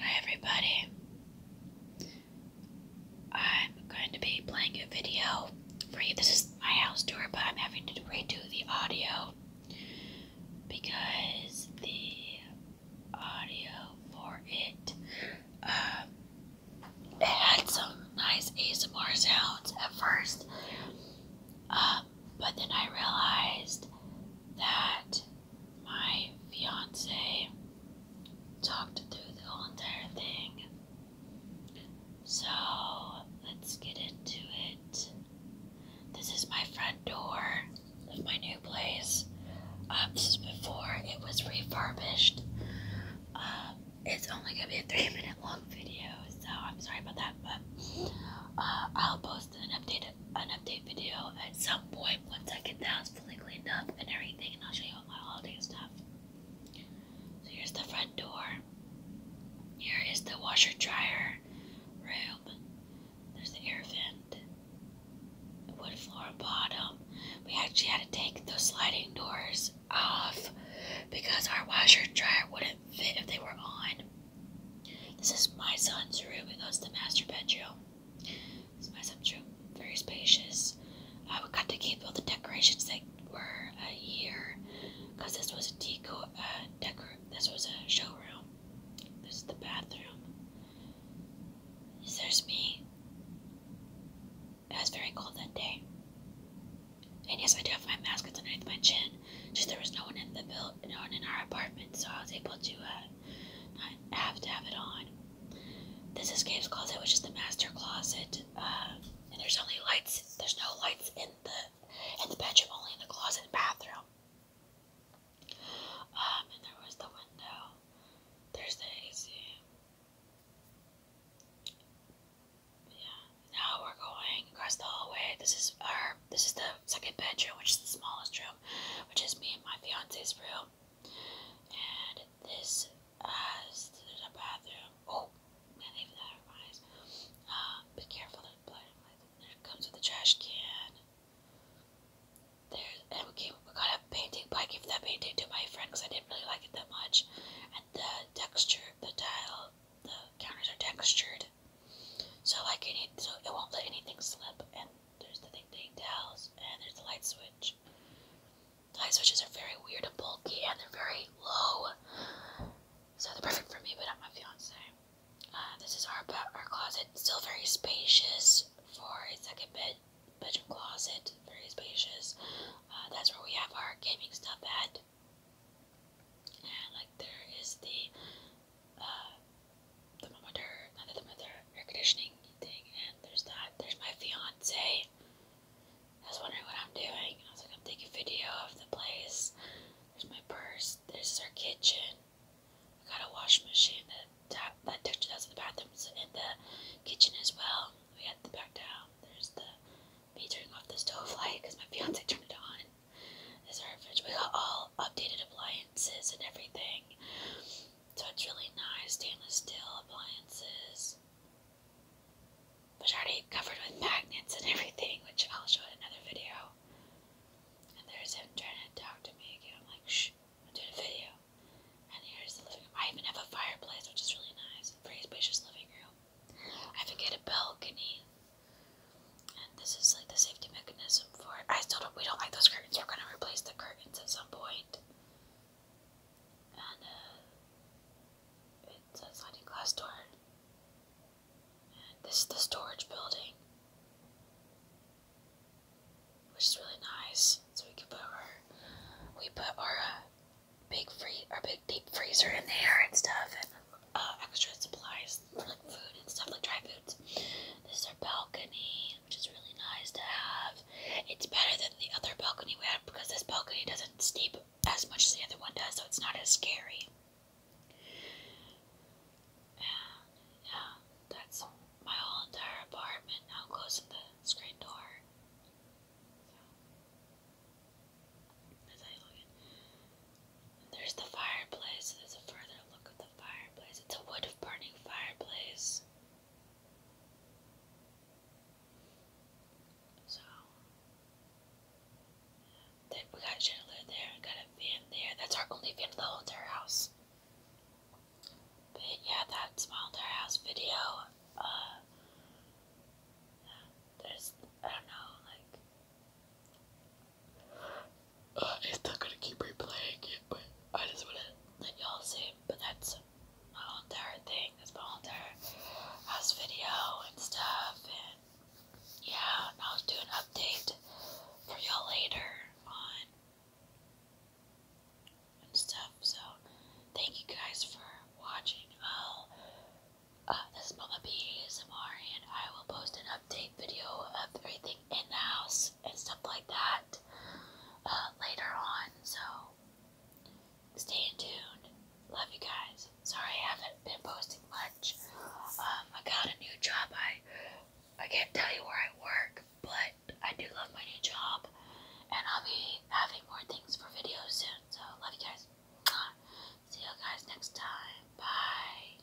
Hi everybody. I'm going to be playing a video for you. This is my house tour, but I'm having to redo the audio because the audio for it um, it had some nice ASMR sounds at first, um, but then I realized that my fiance talked through the whole entire thing. So let's get into it. This is my front door of my new place. Um, this is before it was refurbished. Um, it's only gonna be a three minute long video, so I'm sorry about that, but uh, I'll post an update an update video at some point once I get the house fully cleaned up and everything, and I'll show you all my holiday stuff. So here's the front door. Here is the washer dryer room. There's the air vent. wood floor bottom. We actually had to take those sliding doors off because our washer dryer wouldn't fit if they were on. This is my son's room. It goes to the master bedroom. This is my son's room. Very spacious. I uh, got to keep all the decorations that were here because this was a deco uh, decor. This was a showroom. This is the bathroom. There's me. It was very cold that day. And yes, I do have my mask underneath my chin. Just there was no one in the build, no one in our apartment, so I was able to uh, not have to have it on. This escapes closet, which is the master closet, uh, and there's only lights. There's no lights in the in the bedroom, only in the closet and bathroom. Um, and there was the window. There's the Yeah. Now we're going across the hallway. This is our this is the second bedroom, which is the smallest room, which is me and my fiance's room. And this has the bathroom. Oh, man, even that reminds. Uh, be careful, There comes with a trash can. There, and we, got a painting, I gave that painting to my friend because I didn't really like it that much. And the texture, the tile, the counters are textured. So like any, so it won't let anything slip. And there's the thing ding towels, and there's the light switch. The light switches are very weird and bulky, and they're very low. So they're perfect for me, but not my fiance. Uh, this is our our closet, still very spacious for a second bed bedroom closet, very spacious. Uh, that's where we have our gaming stuff at. And like there is the uh, thermometer, not thermometer, air conditioning thing, and there's that. There's my fiance. I was wondering what I'm doing. I was like, I'm taking video of the place. There's my purse. There's our kitchen. I got a washing machine. The tap that took that's in the bathrooms and the kitchen as well. We had the back down. There's the me turning off the stove light because my fiance turned it on is our fridge. We got all updated appliances and everything. So it's really nice. Stainless steel appliances. Which are already covered with magnets and everything, which I'll show in another video. And there's him trying to talk to me again. I'm like, shh, I'm doing a video. And here's the living room. I even have a fireplace, which is really nice. Very spacious living room. I have get a balcony. And this is like the safety mechanism for it. I still don't we don't like those curtains. We're gonna replace the curtains at some point. And uh it sliding glass door. And this is the storage building. Which is really nice. So we can put our we put our uh, big free our big deep freezer in there and stuff and uh, extra supplies food and stuff, like dry foods. This is our balcony, which is really nice to have. It's better than the other balcony we had because this balcony doesn't steep as much as the other one does, so it's not as scary. yeah, that's my whole entire apartment now closing the screen door. There's the fireplace. There's a further look at the fireplace. It's a wood burning fireplace. So we got a chandelier there, we got a fan there. That's our only fan in the old entire house. But yeah, that's my entire house video. Uh, there's I don't know, like uh, it's not gonna keep replaying it, but I just wanna let y'all see. But that's my whole entire thing. That's my whole entire house video and stuff. And yeah, I'll do an update for y'all later on and stuff. So thank you guys for watching. I'll uh, this is Mama P A S M R, and I will post an update video of everything everything in house and stuff like that uh, later on. So stay tuned. Love you guys. Sorry I haven't been posting much. Um, I got a new job. I I can't tell you where I work, but I do love my new job, and I'll be having more things for videos soon. So love you guys. See you guys next time. Bye.